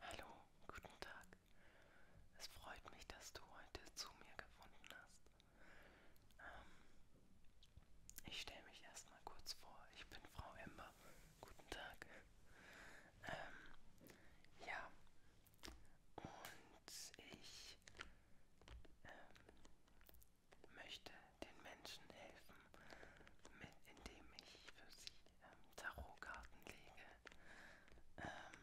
Hallo, guten Tag. Es freut mich, dass du heute zu mir gefunden hast. Ähm, ich stelle mich erstmal kurz vor. Ich bin Frau Ember. Guten Tag. Ähm, ja, und ich ähm, möchte den Menschen helfen, mit, indem ich für sie ähm, Tarotkarten lege. Ähm,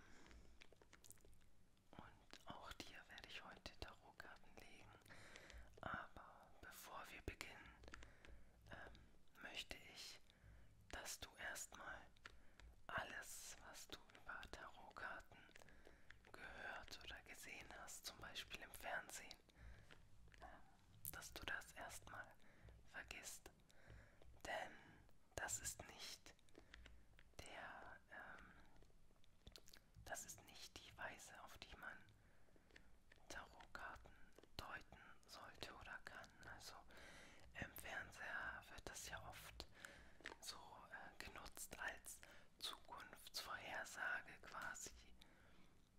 und auch dir werde ich heute Tarotkarten legen. Aber bevor wir beginnen, ähm, möchte ich, dass du erstmal alles, was du über Tarotkarten gehört oder gesehen hast, zum Beispiel im Fernsehen, dass du das erstmal vergisst. Denn das ist nicht der, ähm, das ist nicht die Weise, auf die man Tarotkarten deuten sollte oder kann. Also im Fernseher wird das ja oft wird so äh, genutzt als Zukunftsvorhersage quasi.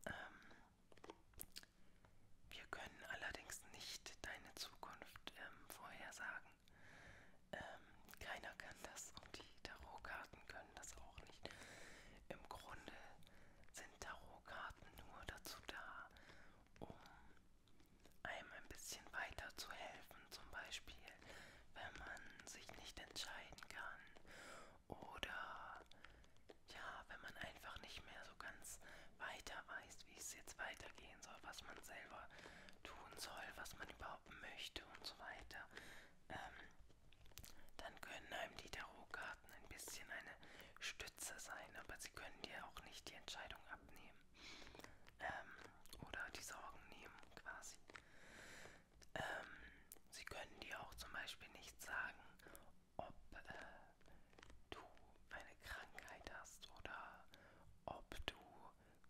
Ähm, wir können allerdings nicht deine Zukunft ähm, vorhersagen. Ähm, keiner kann das und die Tarotkarten können das auch nicht. Im Grunde sind Tarotkarten nur dazu da, um einem ein bisschen weiter zu helfen, zum Beispiel, wenn man sich nicht entscheiden kann oder ja, wenn man einfach nicht mehr so ganz weiter weiß, wie es jetzt weitergehen soll, was man selber tun soll, was man überhaupt möchte und so weiter, ähm, dann können einem die Tarotkarten ein bisschen eine Stütze sein, aber sie können dir auch nicht die Entscheidung abnehmen ähm, oder die Sorgen nehmen quasi. Ähm, sie können dir auch zum Beispiel nicht sagen, ob äh, du eine Krankheit hast oder ob du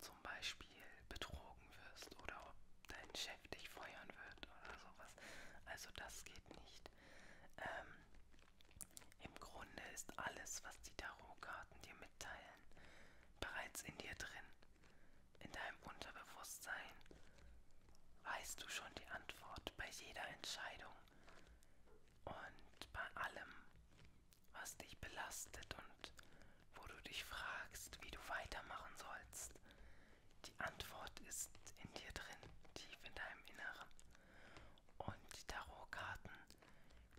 zum Beispiel betrogen wirst oder ob dein Chef dich feuern wird oder sowas. Also das geht nicht. Ähm, Im Grunde ist alles, was die Tarotkarten dir mitteilen, bereits in dir drin, in deinem Unterbewusstsein, weißt du schon die Antwort bei jeder Entscheidung und bei allem, was dich belastet und wo du dich fragst, wie du weitermachen sollst. Die Antwort ist in dir drin, tief in deinem Inneren. Und die Tarotkarten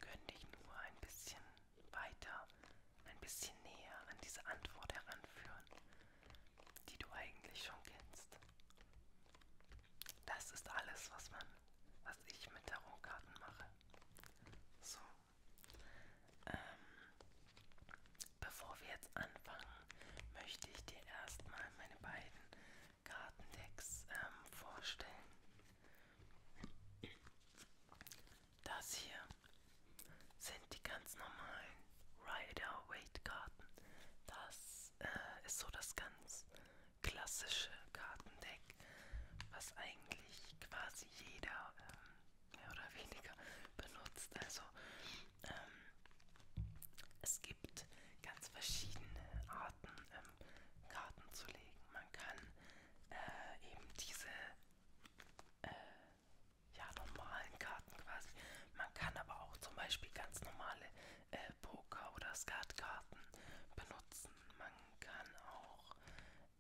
können dich nur ein bisschen weiter ein bisschen näher an diese Antwort heranführen, die du eigentlich schon kennst. Das ist alles, was man, was ich mit Tarotkarten mache. So. Ähm, bevor wir jetzt anfangen, möchte ich dir erstmal meine beiden Kartendecks ähm, vorstellen. Das hier sind die ganz normalen Rider Weight Karten. Das äh, ist so das ganz klassische Kartendeck, was eigentlich quasi jeder ähm, mehr oder weniger benutzt. Also ähm, es gibt ganz verschiedene Arten ähm, Karten zu legen. Man kann äh, eben diese äh, ja, normalen Karten quasi. Man kann aber auch zum Beispiel ganz normale äh, Poker- oder Skatkarten benutzen. Man kann auch,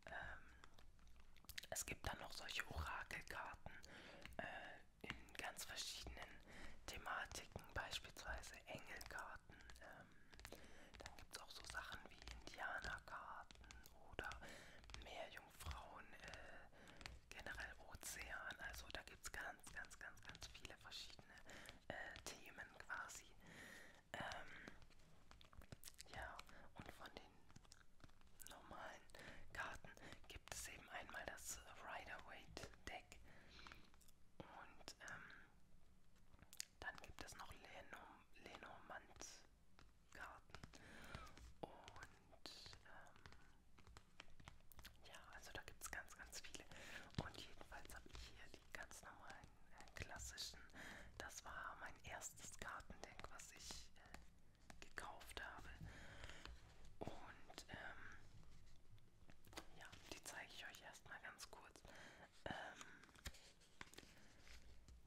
ähm, es gibt dann noch solche Orakelkarten äh, in ganz verschiedenen Thematiken, beispielsweise Engelkarten. Ähm, dann gibt es auch so Sachen wie Indianerkarten oder Meerjungfrauen, äh, generell Ozean. Also da gibt es ganz, ganz, ganz, ganz viele verschiedene äh, Themen quasi. Ähm, ja, und von den normalen Karten gibt es eben einmal das Rider-Waite-Deck und ähm, dann gibt es noch Lenormand Garten. Und ähm, ja, also da gibt es ganz, ganz viele. Und jedenfalls habe ich hier die ganz normalen äh, klassischen. Das war mein erstes Gartendeck, was ich äh, gekauft habe. Und ähm, ja, die zeige ich euch erstmal ganz kurz. Ähm,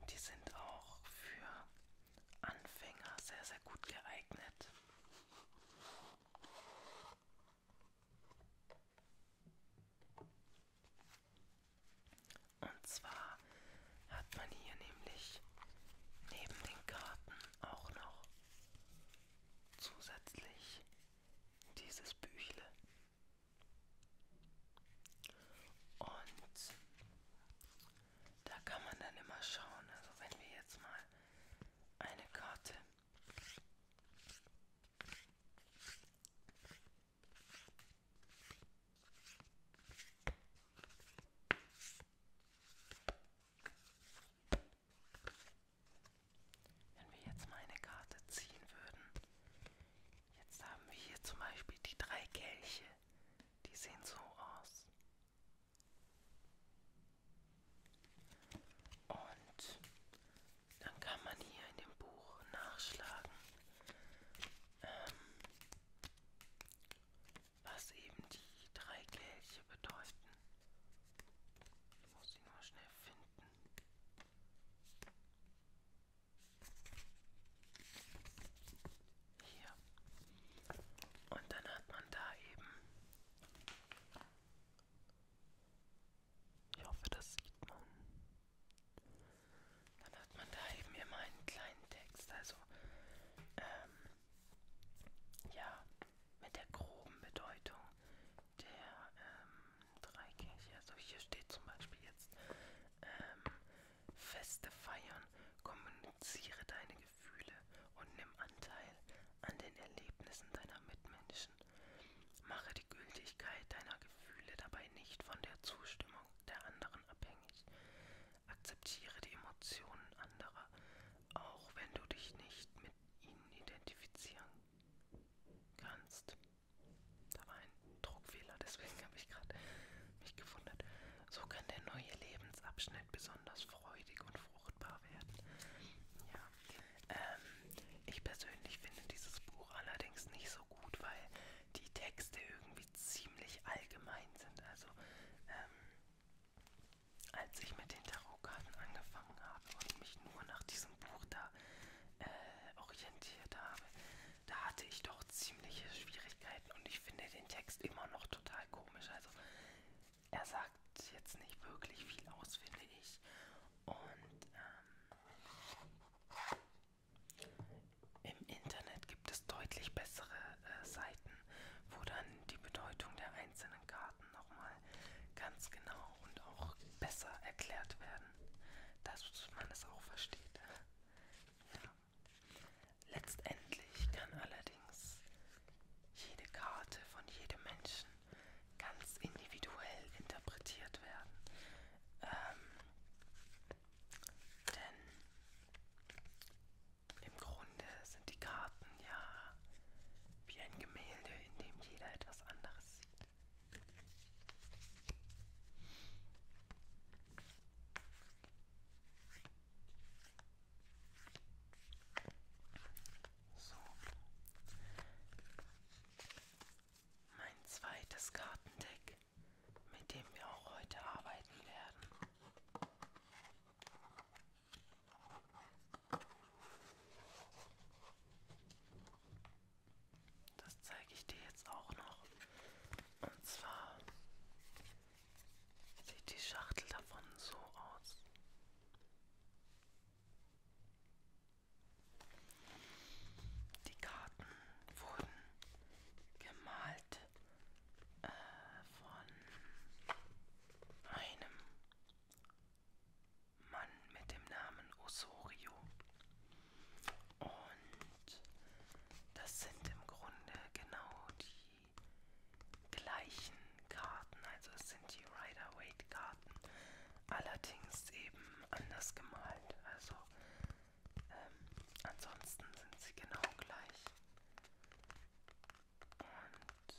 die sind auch für Anfänger sehr, sehr gut geeignet. Und zwar hat man hier nämlich neben den Karten auch noch zusätzlich dieses Büchle. Und da kann man dann immer schauen. Also wenn wir jetzt mal eine Karte wenn wir jetzt mal eine Karte ziehen würden, jetzt haben wir hier zum Beispiel die drei Kelche. Die sehen so aus. Und dann kann man hier in dem Buch nachschlagen, ähm, was eben die drei Kelche bedeuten. Ich muss sie nur schnell finden. Hier. Und dann hat man da eben. Ich hoffe, das sieht man. Dann hat man da eben immer einen kleinen Text. Also, ähm, ja, mit der groben Bedeutung der ähm, drei Kirche. Also hier steht zum Beispiel jetzt ähm, Feste feiern, kommuniziere deine Gefühle und nimm Anteil an den Erlebnissen deiner Mitmenschen. Mache die Gültigkeit deiner Gefühle dabei nicht von der Zustimmung der anderen abhängig. Akzeptiere die Emotionen anderer, auch wenn du dich nicht mit ihnen identifizieren kannst. Da war ein Druckfehler, deswegen habe ich gerade mich gewundert. So kann der neue Lebensabschnitt besonders freudig und fruchtbar werden. Ja. Ähm, ich persönlich finde dieses Buch allerdings nicht so gut, weil die Texte irgendwie ziemlich allgemein sind. Also, ähm, als ich mit den Tarotkarten angefangen habe und mich nur nach diesem Buch da äh, orientiert habe, da hatte ich doch ziemliche Schwierigkeiten und ich finde den Text immer noch total komisch. Also er sagt jetzt nicht wirklich viel aus, finde ich. Und ähm, im Internet gibt es deutlich bessere äh, Seiten, wo dann die Bedeutung der einzelnen Karten nochmal ganz genau und auch besser erklärt werden, dass man es das auch versteht. Ja. Letztendlich kann allerdings jede Karte von jedem Menschen ganz individuell interpretiert werden. Ähm, denn im Grunde sind die Karten ja wie ein Gemälde, in dem jeder etwas anderes sieht. So. Mein zweites Kartendeck, mit dem wir auch heute arbeiten werden. Das zeige ich dir jetzt auch noch. Und zwar Sieht die Schachtel davon so aus. Die Karten wurden gemalt äh, von einem Mann mit dem Namen Osorio. Und das sind im Grunde genau die gleichen Karten. Also es sind die Rider-Waite-Karten, allerdings eben anders gemalt. Also ähm, ansonsten sind sie genau gleich. Und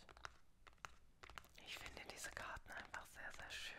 ich finde diese Karten einfach sehr, sehr schön.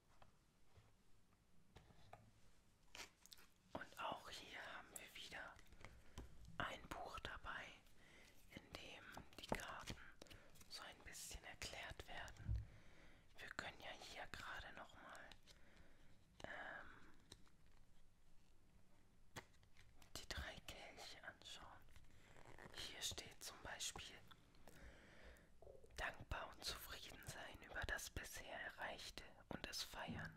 Und auch hier haben wir wieder ein Buch dabei, in dem die Karten so ein bisschen erklärt werden. Wir können ja hier gerade nochmal ähm, die drei Kelche anschauen. Hier steht zum Beispiel, dankbar und zufrieden sein über das bisher Erreichte und es feiern.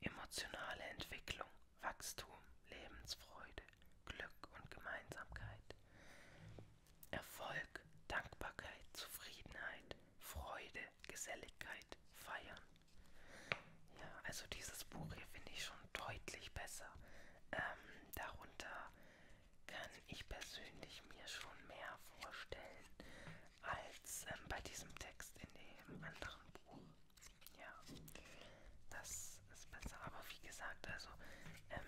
Emotionale Entwicklung, Wachstum, Lebensfreude, Glück und Gemeinsamkeit. Erfolg, Dankbarkeit, Zufriedenheit, Freude, Geselligkeit, Feiern. Ja, also dieses Buch hier finde ich schon deutlich besser. Ähm, darunter kann ich persönlich mir schon mehr vorstellen als ähm, bei diesem Text in dem anderen Buch. Ja, das ist besser. Aber wie gesagt, also ähm,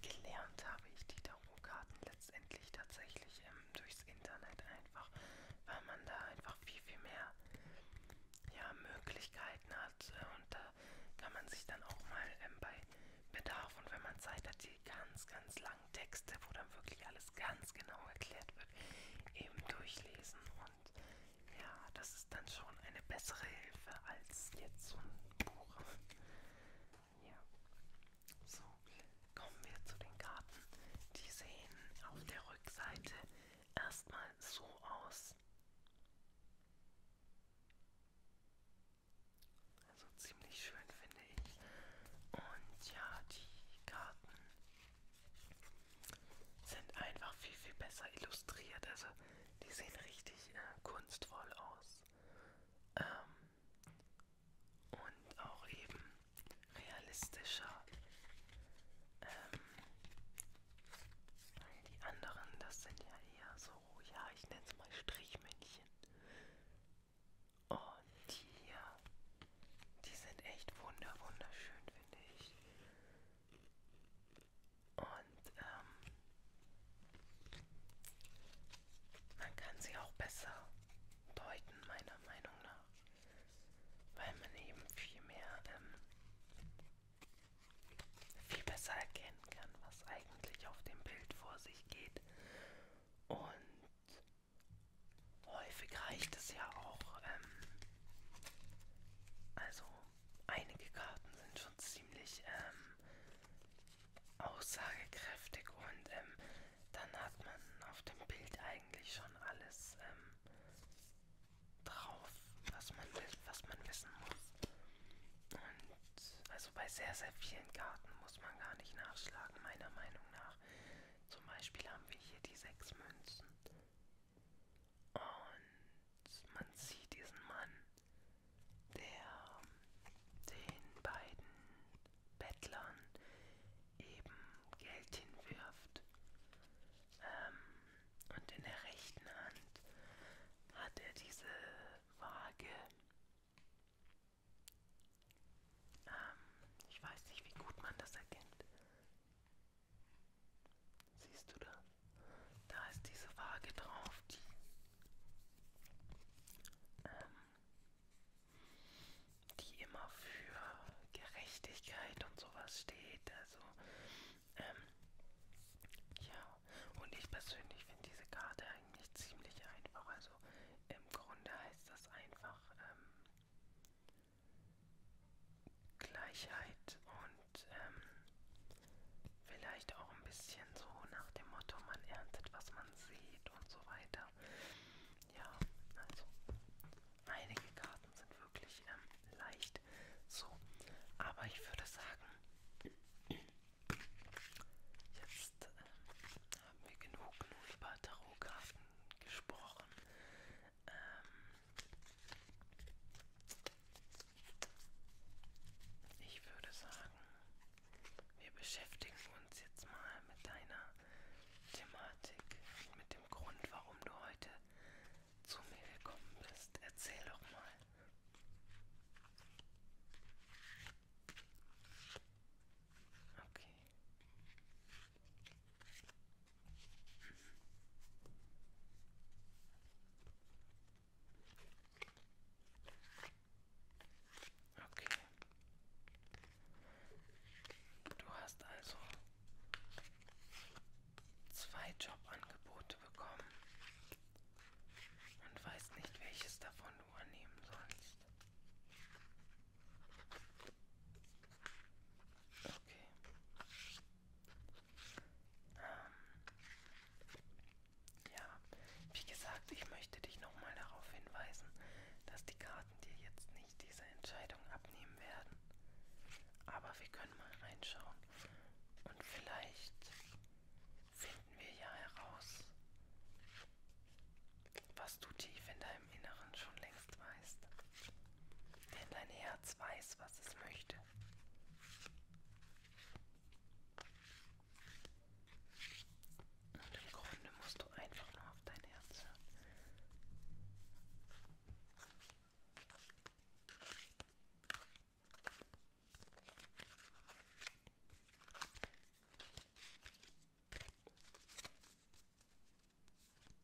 gelernt habe ich die Tarotkarten letztendlich tatsächlich ähm, durchs Internet einfach, weil man da einfach viel, viel mehr ja, Möglichkeiten hat. Äh, und da kann man sich dann auch mal ähm, bei Bedarf und wenn man Zeit hat, die ganz, ganz lange langen Texte, wo dann wirklich alles ganz genau erklärt wird, eben durchlesen. Und ja, das ist dann schon eine bessere Hilfe als jetzt so ein Buch. Ja. So, kommen wir zu den Karten. Die sehen auf der Rückseite erstmal so aus. Also ziemlich schön, finde finde ich. Und ja, die Karten sind einfach viel, viel besser illustriert. Also die sehen richtig äh, kunstvoll aus. Ähm, und auch eben realistischer. Ähm, die anderen, das sind ja eher so, ja, ich nenne es mal Strichmännchen. Und oh, hier. Die sind echt wunder wunderschön, finde ich. Und ähm, man kann sie auch besser deuten, meiner Meinung nach. Weil man eben viel mehr, ähm, viel besser erkennen kann, was eigentlich auf dem Bild vor sich geht. Und Häufig reicht es ja auch. Ähm, also einige Karten sind schon ziemlich ähm, aussagekräftig und ähm, dann hat man auf dem Bild eigentlich schon alles ähm, drauf, was man will, was man wissen muss. Und also bei sehr, sehr vielen Karten muss man gar nicht nachschlagen, meiner Meinung nach. Zum Beispiel haben wir hier die sechs Münzen. Und man sieht diesen Mann, der ähm, den beiden Bettlern eben Geld hinwirft. Ähm, und in der rechten Hand hat er diese Waage ähm, ich weiß nicht, wie gut man das erkennt. Siehst du da? Da ist diese Waage drauf, die ähm, die immer für Gerechtigkeit und sowas steht. Also, ähm, ja, und ich persönlich finde diese Karte eigentlich ziemlich einfach. Also im Grunde heißt das einfach, ähm, Gleichheit und ähm, vielleicht auch ein bisschen so nach dem Motto, man erntet, was man sieht und so weiter. Ja, also einige Karten sind wirklich ähm, leicht so. Aber ich würde sagen, jetzt ähm, haben wir genug nur über Tarotkarten gesprochen. Ähm ich würde sagen, wir beschäftigen uns jetzt mal mit deiner Thematik, mit dem Grund, warum du heute zu mir gekommen bist. Erzähl doch mal. Okay. Okay. Du hast also zwei Jobangebote bekommen und weißt nicht, welches davon du annehmen sollst. Okay. Ähm, ja, wie gesagt, ich möchte dich nochmal darauf hinweisen, dass die Karten dir jetzt nicht diese Entscheidung abnehmen werden. Aber wir können mal reinschauen. Und vielleicht finden wir ja heraus, was du tief in deinem Inneren schon längst weißt. Denn dein Herz weiß, was es möchte. Und im Grunde musst du einfach nur auf dein Herz hören.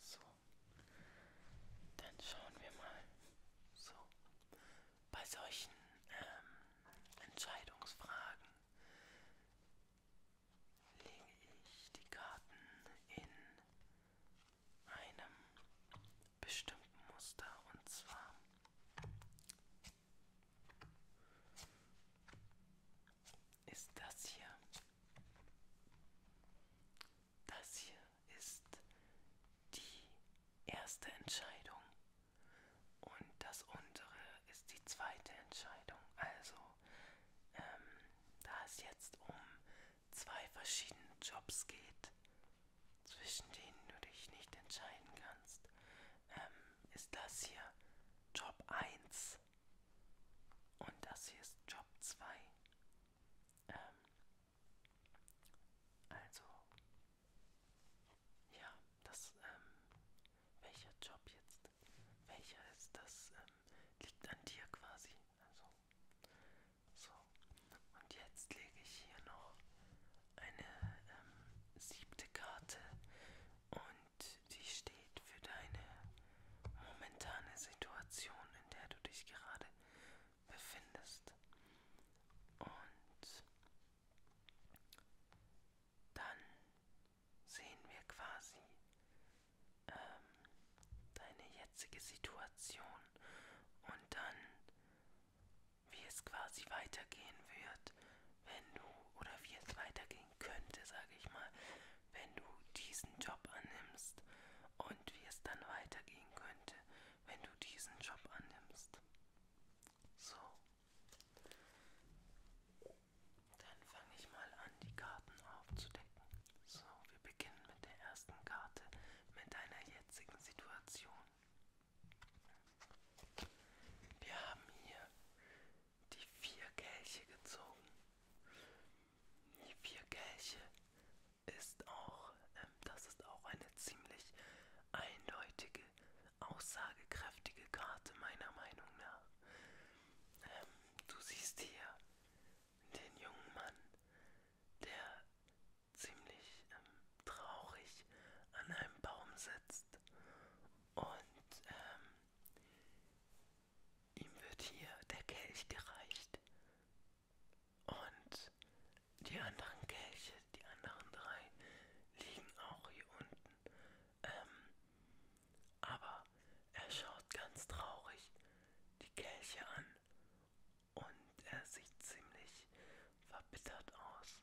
So, dann schauen wir mal. So, bei solchen ähm, Entscheidungsfragen lege ich die Karten in einem bestimmten Muster und zwar ist das hier. Das hier ist die erste Entscheidung und das untere ist die zweite Entscheidung. Also ähm, da es jetzt um zwei verschiedene Jobs geht, zwischen denen du dich nicht entscheiden kannst, ähm, ist das hier Job 1 und das hier ist Job 2. Ähm, also, ja, das ähm, welcher Job jetzt, welcher ist, das ähm, liegt an dir quasi. Also, so. Und jetzt lege ich hier noch eine ähm, siebte Karte und die steht für deine momentane Situation, in der du dich gerade befindest. Und dann sehen wir quasi ähm, deine jetzige Situation und dann, wie es quasi weitergehen wird, wenn du, oder wie es weitergehen könnte, sage ich mal, wenn du diesen Job annimmst und wie es dann weitergehen könnte, wenn du diesen Job annimmst. So. Dann fange ich mal an, die Karten aufzudecken. So, wir beginnen mit der ersten Karte, mit deiner jetzigen Situation. Wir haben hier die vier Kelche gezogen. Die vier Kelche ist auch, ähm, das ist auch eine ziemlich eindeutige, aussagekräftige Karte meiner Meinung nach. Ähm, du siehst hier den jungen Mann, der ziemlich ähm, traurig an einem Baum sitzt und ähm, ihm wird hier der Kelch gereicht und die anderen Kelche, die anderen drei liegen auch hier unten ähm, aber er schaut ganz traurig die Kelche an und er sieht ziemlich verbittert aus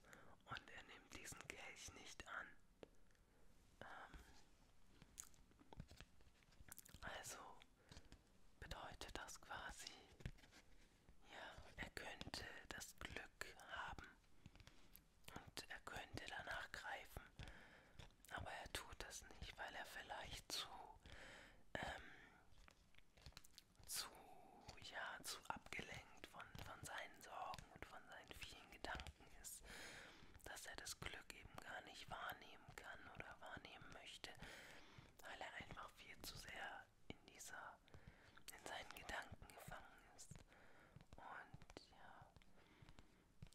und er nimmt diesen Kelch nicht an. Ähm also bedeutet das quasi, ja, er könnte das Glück haben und er könnte danach greifen, aber er tut das nicht, weil er vielleicht zu, ähm, zu, ja, zu abgelenkt von, von seinen Sorgen und von seinen vielen Gedanken ist, dass er das Glück eben gar nicht wahrnehmen kann oder wahrnehmen möchte, weil er einfach viel zu sehr in dieser, in seinen Gedanken gefangen ist. Und ja,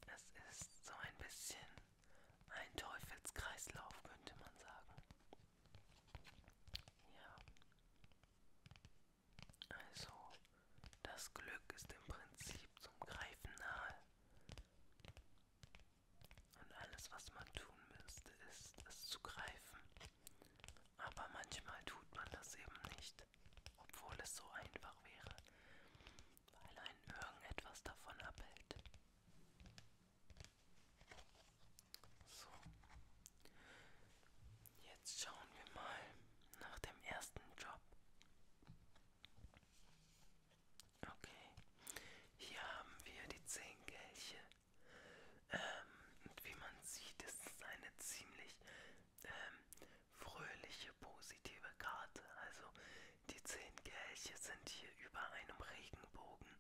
es ist so ein bisschen ein Teufelskreislauf, könnte man sagen. Ja. Also, das Glück ist im Prinzip zum Greifen nahe. Und alles, was man tun müsste, ist, es zu greifen. Aber manchmal tut man das eben nicht, obwohl es so einfach wäre weil einen irgendetwas davon abhält. So, jetzt schauen wir mal nach dem ersten Job. Okay, hier haben wir die zehn Kelche. Ähm, und wie man sieht, ist es eine ziemlich ähm, fröhliche, positive Karte. Also die zehn Kelche sind hier über einem Regenbogen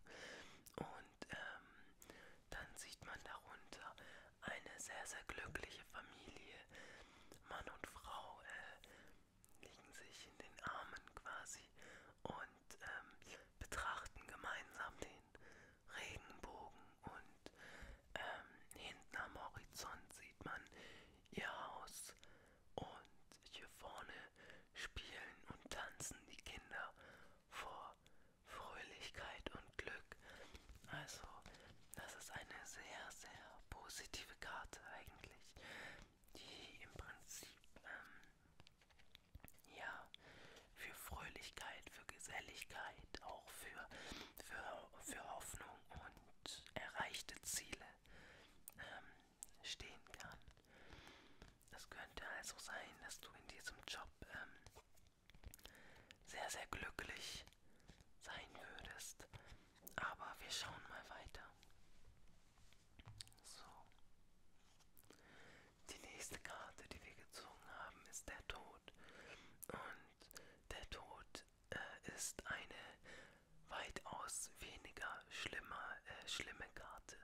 und ähm, dann sieht man darunter eine sehr, sehr glückliche Familie. Mann und Frau äh, liegen sich in den Armen quasi und ähm, betrachten gemeinsam den Regenbogen und ähm, hinten am Horizont sieht man ihr Haus und hier vorne spielen und tanzen die Kinder vor Fröhlichkeit und Glück. Also, das ist eine sehr, sehr positive Karte eigentlich, die im Prinzip ähm, ja für Fröhlichkeit, für Geselligkeit, auch für, für, für Hoffnung und erreichte Ziele ähm, stehen kann. Es könnte also sein, dass du in diesem Job ähm, sehr, sehr glücklich sein würdest. Aber wir schauen mal weiter. So. Die nächste Karte, die wir gezogen haben, ist der Tod. Und der Tod äh, ist eine weitaus weniger schlimme, äh, schlimme Karte,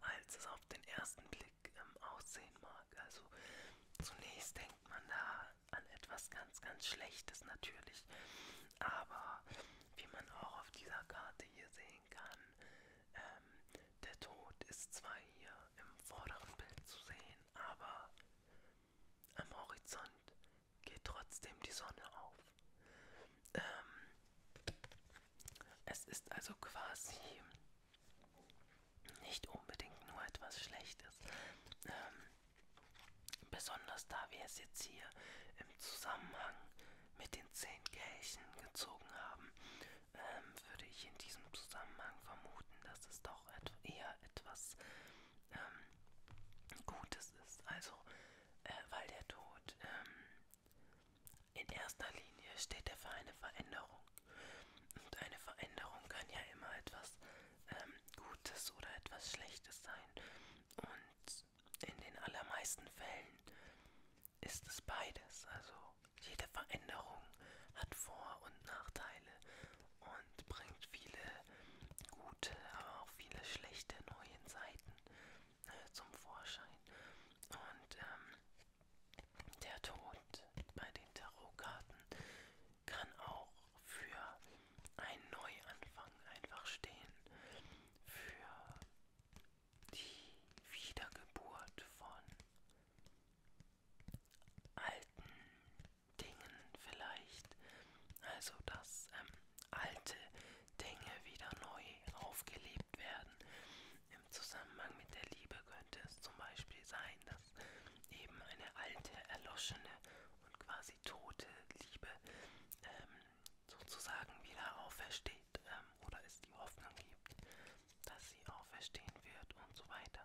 als es auf den ersten Blick ähm, aussehen mag. Also zunächst denkt man da an etwas ganz, ganz Schlechtes natürlich. Aber wie man auch auf dieser Karte hier sehen kann, ähm, der Tod ist zwar hier im vorderen Bild zu sehen, aber am Horizont geht trotzdem die Sonne auf. Ähm, es ist also quasi nicht unbedingt nur etwas Schlechtes. Ähm, besonders da wir es jetzt hier im Zusammenhang mit den zehn Kelchen gezogen haben, ähm, würde ich in diesem Zusammenhang vermuten, dass es doch et eher etwas ähm, Gutes ist. Also äh, weil der Tod ähm, in erster Linie steht er für eine Veränderung. Und eine Veränderung kann ja immer etwas ähm, Gutes oder etwas Schlechtes sein. Und in den allermeisten Fällen ist es beides. Also jede Veränderung hat Vor- und Nachteile und bringt viele gute, aber auch viele schlechte neue Seiten äh, zum Vorschein. Und ähm, der Tod bei den Tarotkarten kann auch für einen Neuanfang einfach stehen. Für die Wiedergeburt von alten Dingen vielleicht. Also das ähm, Alte Dinge wieder neu aufgelebt werden. Im Zusammenhang mit der Liebe könnte es zum Beispiel sein, dass eben eine alte, erloschene und quasi tote Liebe ähm, sozusagen wieder aufersteht ähm, oder es die Hoffnung gibt, dass sie auferstehen wird und so weiter.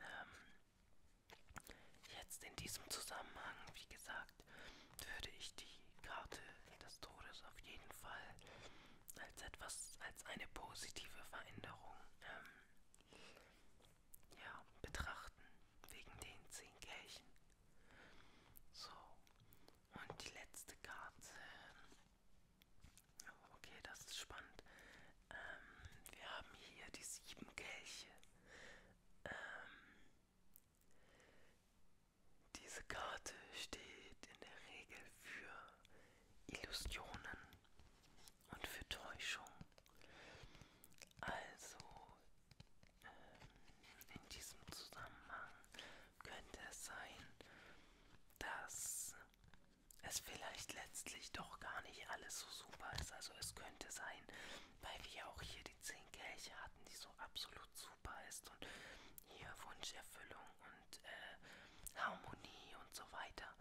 Ähm, jetzt in diesem Zusammenhang, wie gesagt, gesagt, würde ich die Karte des Todes auf jeden Fall als etwas, als eine positive Veränderung ähm, ja, betrachten, wegen den zehn Kirchen. So, und die letzte Karte. Okay, das ist spannend. Ähm, wir haben hier die sieben Kelche. Ähm, diese Karte steht in der Regel für Illusionen und für Täuschung. Also ähm, in diesem Zusammenhang könnte es sein, dass es vielleicht letztlich doch gar nicht alles so super ist. Also es könnte sein, weil wir auch hier die zehn Kelche hatten, die so absolut super ist und hier Wunscherfüllung und äh, Harmonie und so weiter.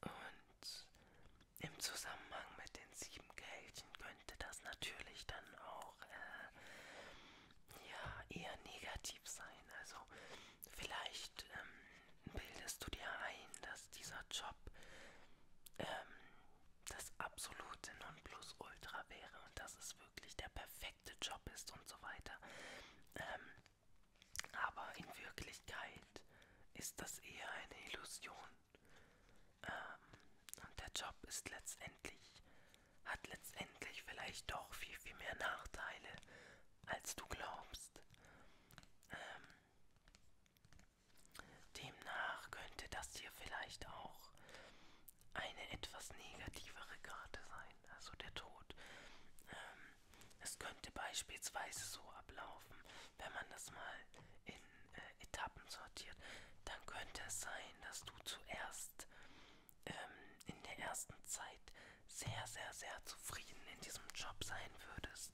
Und im Zusammenhang mit den sieben Kelchen könnte das natürlich dann auch äh, ja, eher negativ sein. Also vielleicht ähm, bildest du dir ein, dass dieser Job ähm, das absolute Nonplusultra wäre und das ist wirklich der perfekte Job ist und so weiter. Ähm, aber in Wirklichkeit ist das eher eine Illusion. Ähm, und der Job ist letztendlich, hat letztendlich vielleicht doch viel, viel mehr Nachteile, als du glaubst. Ähm, demnach könnte das hier vielleicht auch eine etwas negativere Karte sein, also der Tod. Ähm, es könnte beispielsweise so ablaufen, wenn man das mal in äh, Etappen sortiert, dann könnte es sein, dass du zuerst ähm, in der ersten Zeit sehr, sehr, sehr zufrieden in diesem Job sein würdest.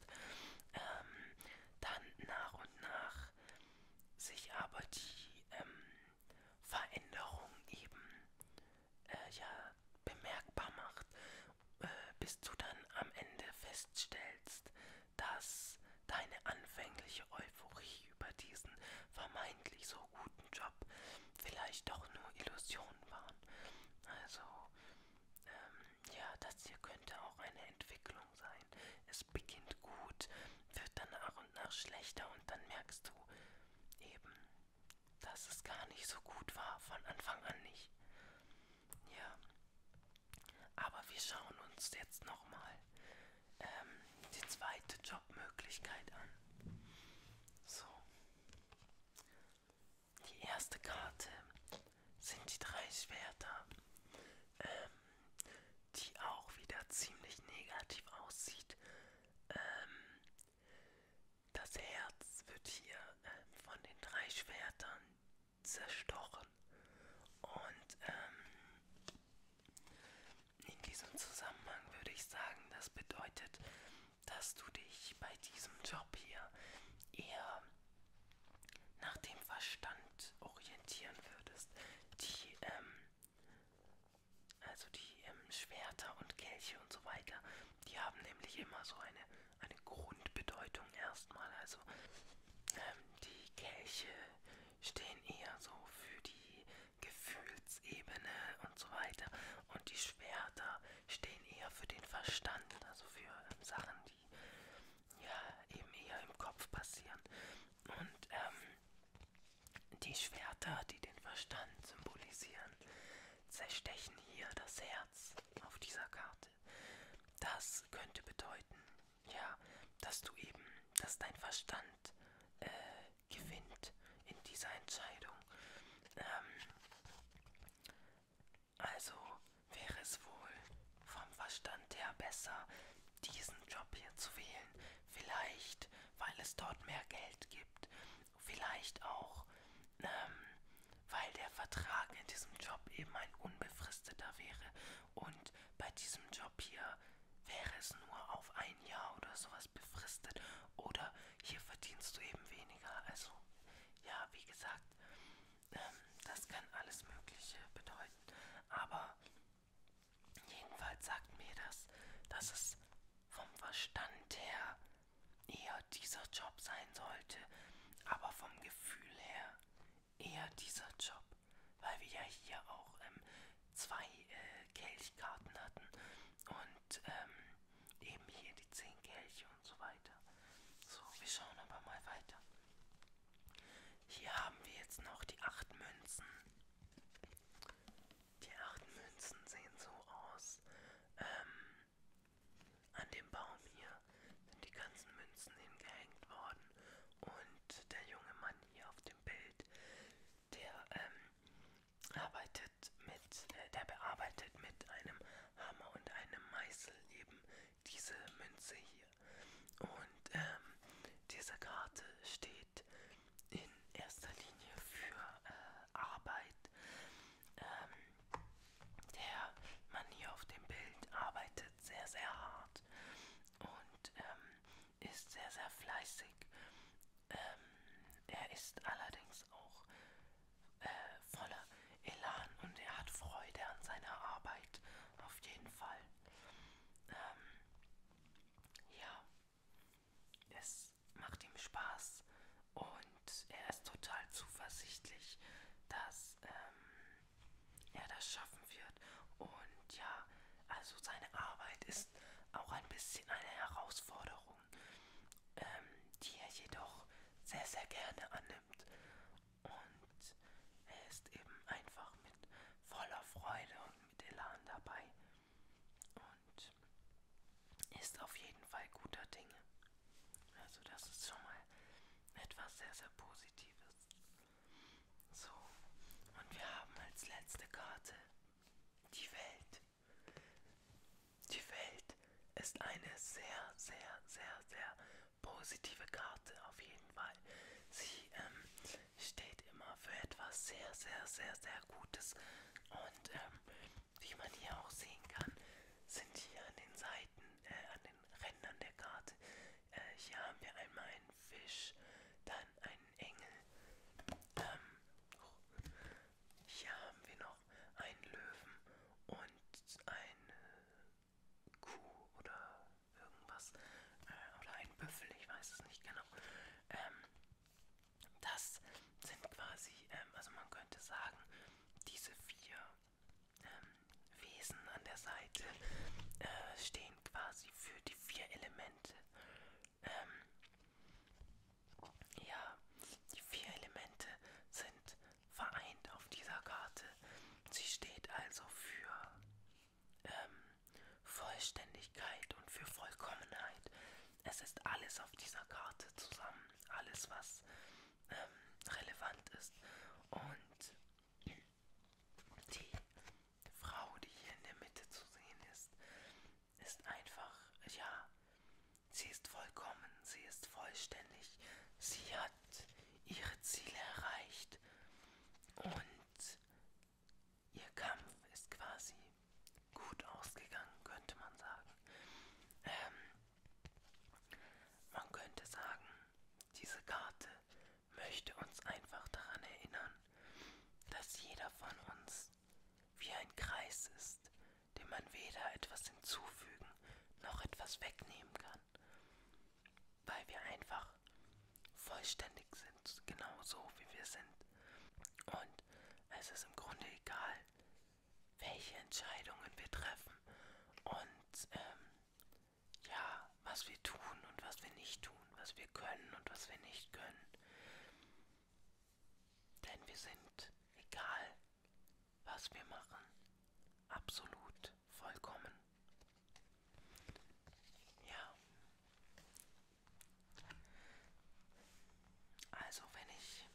Ähm, dann nach und nach sich aber die ähm, Veränderung eben äh, ja bemerkbar macht, äh, bis du dann am Ende feststellst, dass deine anfängliche Euphorie über diesen vermeintlich so guten Job vielleicht doch nur Illusionen waren. Also ähm, ja, das hier könnte auch eine Entwicklung sein. Es beginnt gut, wird dann nach und nach schlechter und dann merkst du eben, dass es gar nicht so gut war, von Anfang an nicht. Ja, aber wir schauen uns jetzt nochmal ähm, die zweite Jobmöglichkeit an. So, die erste Karte sind die drei Schwerter. Ähm, die auch wieder ziemlich negativ aussieht. Ähm, das Herz wird hier äh, von den drei Schwertern zerstochen. Und ähm, in diesem Zusammenhang würde ich sagen, das bedeutet, dass du dich bei diesem Job hier eher nach dem Verstand orientieren würdest. Die ähm, also die ähm, Schwerter und Kelche und so weiter, die haben nämlich immer so eine, eine Grundbedeutung erstmal. Also ähm, die Kelche stehen eher so für die Gefühlsebene und so weiter. Und die Schwerter stehen eher für den Verstand, also für ähm, Sachen, die ja eben eher im Kopf passieren. Und ähm, die Schwerter, die den Verstand symbolisieren, zerstechen hier das Herz auf dieser Karte. Das könnte bedeuten, ja, dass du eben, dass dein Verstand äh, gewinnt in dieser Entscheidung. Ähm, also wäre es wohl vom Verstand her besser, diesen Job hier zu wählen. Vielleicht weil es dort mehr Geld gibt. Vielleicht auch, ähm, weil der Vertrag in diesem Job eben ein unbefristeter wäre. Und bei diesem Job hier wäre es nur auf ein Jahr oder sowas befristet. Oder hier verdienst du eben weniger. Also ja, wie gesagt, ähm, das kann alles Mögliche bedeuten. Aber Jedenfalls sagt mir das, dass es vom Verstand her eher dieser Job sein sollte, aber vom Gefühl her eher dieser Job, weil wir ja hier auch ähm, zwei äh, Kelchkarten hatten und ähm, eben hier die zehn Kelche und so weiter. So, wir schauen aber mal weiter. Hier haben wir jetzt noch die acht Münzen. Die acht Münzen sehen so aus. Ähm, an dem Baum hier sind die ganzen Münzen hingehängt worden. Und der junge Mann hier auf dem Bild, der ähm, arbeitet mit, äh, der bearbeitet mit einem Hammer und einem Meißel eben diese Münze hier. Und ähm, diese Karte steht in erster Linie für äh, Arbeit, ähm, der man hier auf dem Bild arbeitet sehr, sehr hart und ähm, ist sehr, sehr fleißig. Ähm, er ist allerdings auch äh, voller Elan und er hat Freude an seiner Arbeit, auf jeden Fall. Ähm, ja, es es macht ihm Spaß und er ist total zuversichtlich, dass ähm, er das schaffen wird. Und ja, also seine Arbeit ist auch ein bisschen eine Herausforderung, ähm, die er jedoch sehr, sehr gerne annimmt. Und er ist eben einfach mit voller Freude und mit Elan dabei. Und ist auf jeden Fall guter Dinge. Also das ist schon mal etwas sehr, sehr Positives. So, und wir haben als letzte Karte die Welt. Die Welt ist eine sehr, sehr, sehr, sehr positive Karte auf jeden Fall. Sie ähm, steht immer für etwas sehr, sehr, sehr, sehr Gutes. Und ähm, wie man hier auch sehen kann, sind hier an den Seiten, äh, an den Rändern der Karte, äh, hier haben wir einmal einen Fisch, dann einen Engel, ähm, hier haben wir noch einen Löwen und eine Kuh oder irgendwas, äh, oder einen Büffel, ich weiß es nicht genau. Ähm, das sind quasi, ähm, also man könnte sagen, diese vier ähm, Wesen an der Seite äh, stehen quasi für die vier Elemente. Ähm, ja, die vier Elemente sind vereint auf dieser Karte. Sie steht also für ähm, Vollständigkeit und für Vollkommenheit es ist alles auf dieser Karte zusammen, alles was ähm, relevant ist. Und die Frau, die hier in der Mitte zu sehen ist, ist einfach, ja, sie ist vollkommen, sie ist vollständig, sie hat ihre Ziele erreicht und ihr Kampf ist quasi gut ausgegangen, könnte man sagen. Ähm, man könnte sagen, diese Karte möchte uns einfach daran erinnern, dass jeder von uns wie ein Kreis ist, dem man weder etwas hinzufügen noch etwas wegnehmen kann, weil wir einfach vollständig sind, genau so wie wir sind. Und es ist im Grunde egal, welche Entscheidungen wir treffen und ähm, ja, was wir tun und was wir nicht tun, was wir können und was wir nicht können. Denn wir sind, egal was wir machen, absolut vollkommen. Ja, also wenn ich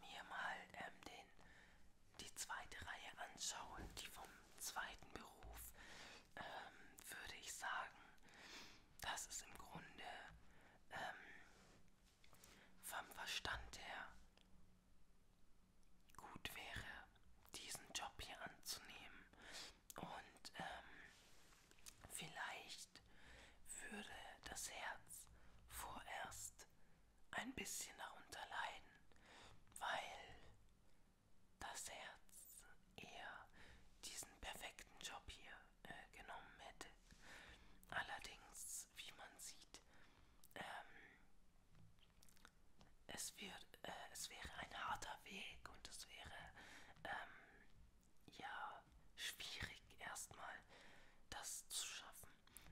mir mal ähm, den, die zweite Reihe anschaue, die vom zweiten Beruf, ähm, würde ich sagen, dass es im Grunde ähm, vom Verstand her gut wäre, diesen Job hier anzunehmen. Und ähm, vielleicht würde das Herz vorerst ein bisschen darunter leiden, weil das Herz eher diesen perfekten Job hier äh, genommen hätte. Allerdings, wie man sieht, ähm, es, wird, äh, es wäre ein harter Weg und es wäre ähm, ja schwierig erstmal das zu schaffen.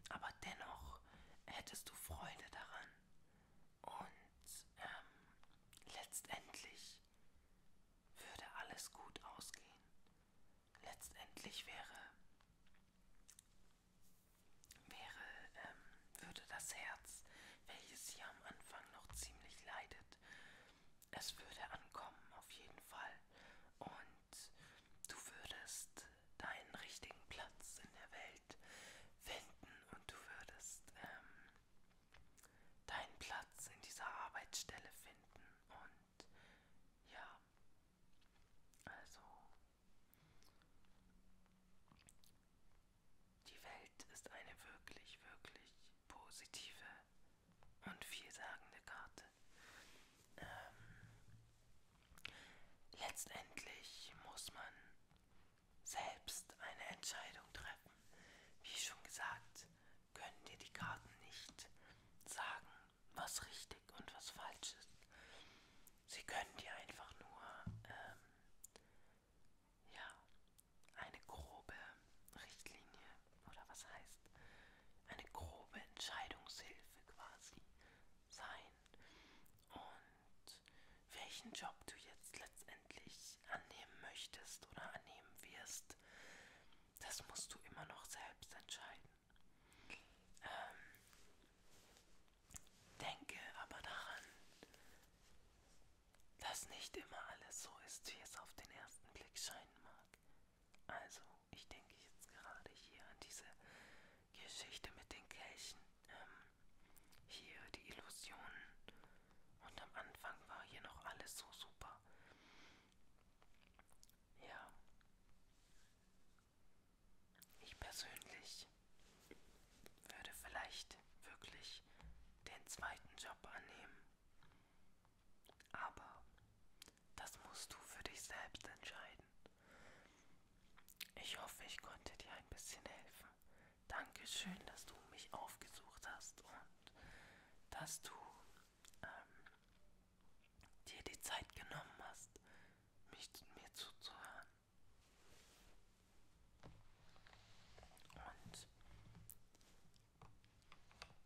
Aber dennoch hättest du Freude daran. Und ähm, letztendlich würde alles gut ausgehen. Letztendlich wäre, wäre, ähm, würde das Herz, welches hier am Anfang noch ziemlich leidet, es würde ankommen auf jeden Fall und du würdest deinen richtigen Platz in der Welt finden und du würdest ähm, deinen Platz in dieser Arbeitsstelle finden und ja, also die Welt ist eine wirklich, wirklich positive und vielsagende Karte. Ähm, letztendlich muss man selbst eine Entscheidung treffen. Wie schon gesagt, können dir die Karten nicht sagen, was richtig und was falsch ist. Sie können dir einfach nur ähm, ja, eine grobe Richtlinie oder was heißt eine grobe Entscheidungshilfe quasi sein und welchen Job du jetzt letztendlich annehmen möchtest oder annehmen wirst, das musst du immer noch selbst entscheiden. Ähm, denke aber daran, dass nicht immer alles so ist, wie es auf den ersten Blick scheinen mag. Also, ich denke jetzt gerade hier an diese Geschichte mit den Kelchen. Ähm, hier die Illusionen. Und am Anfang war hier noch alles so super. Ja. Ich persönlich würde vielleicht wirklich den zweiten Job annehmen. Aber das musst du für dich selbst entscheiden. Ich hoffe, ich konnte dir ein bisschen helfen. Dankeschön, dass du mich aufgesucht hast und dass du ähm, dir die Zeit genommen hast, mich, mir zuzuhören. Und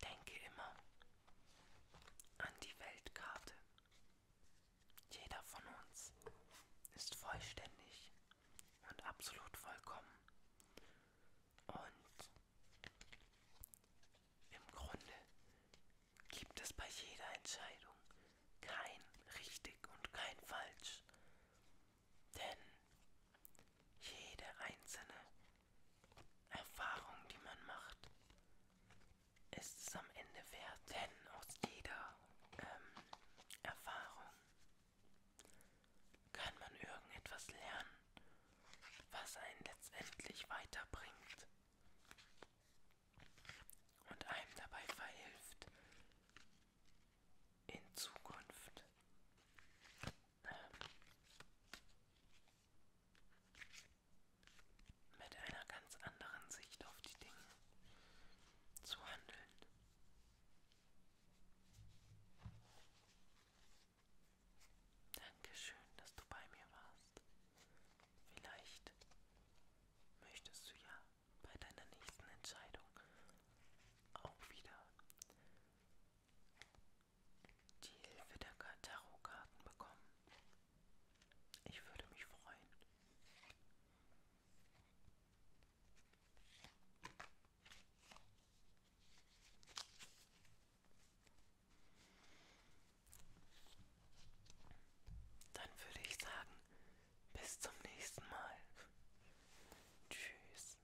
Denke immer an die Weltkarte. Jeder von uns ist vollständig und absolut vollkommen. Und im Grunde gibt es bei jeder Entscheidung kein richtig und kein falsch. Denn jede einzelne Erfahrung, die man macht, ist es am Ende wert. Denn aus jeder ähm, Erfahrung kann man irgendetwas lernen, was einen letztendlich weiterbringt und einem dabei verhilft, in Zukunft ähm, mit einer ganz anderen Sicht auf die Dinge zu handeln. Dankeschön, dass du bei mir warst. Vielleicht möchtest du ja bei deiner nächsten Entscheidung auch wieder die Hilfe der Tarotkarten bekommen. Ich würde mich freuen. Dann würde ich sagen, bis zum nächsten Mal. Tschüss.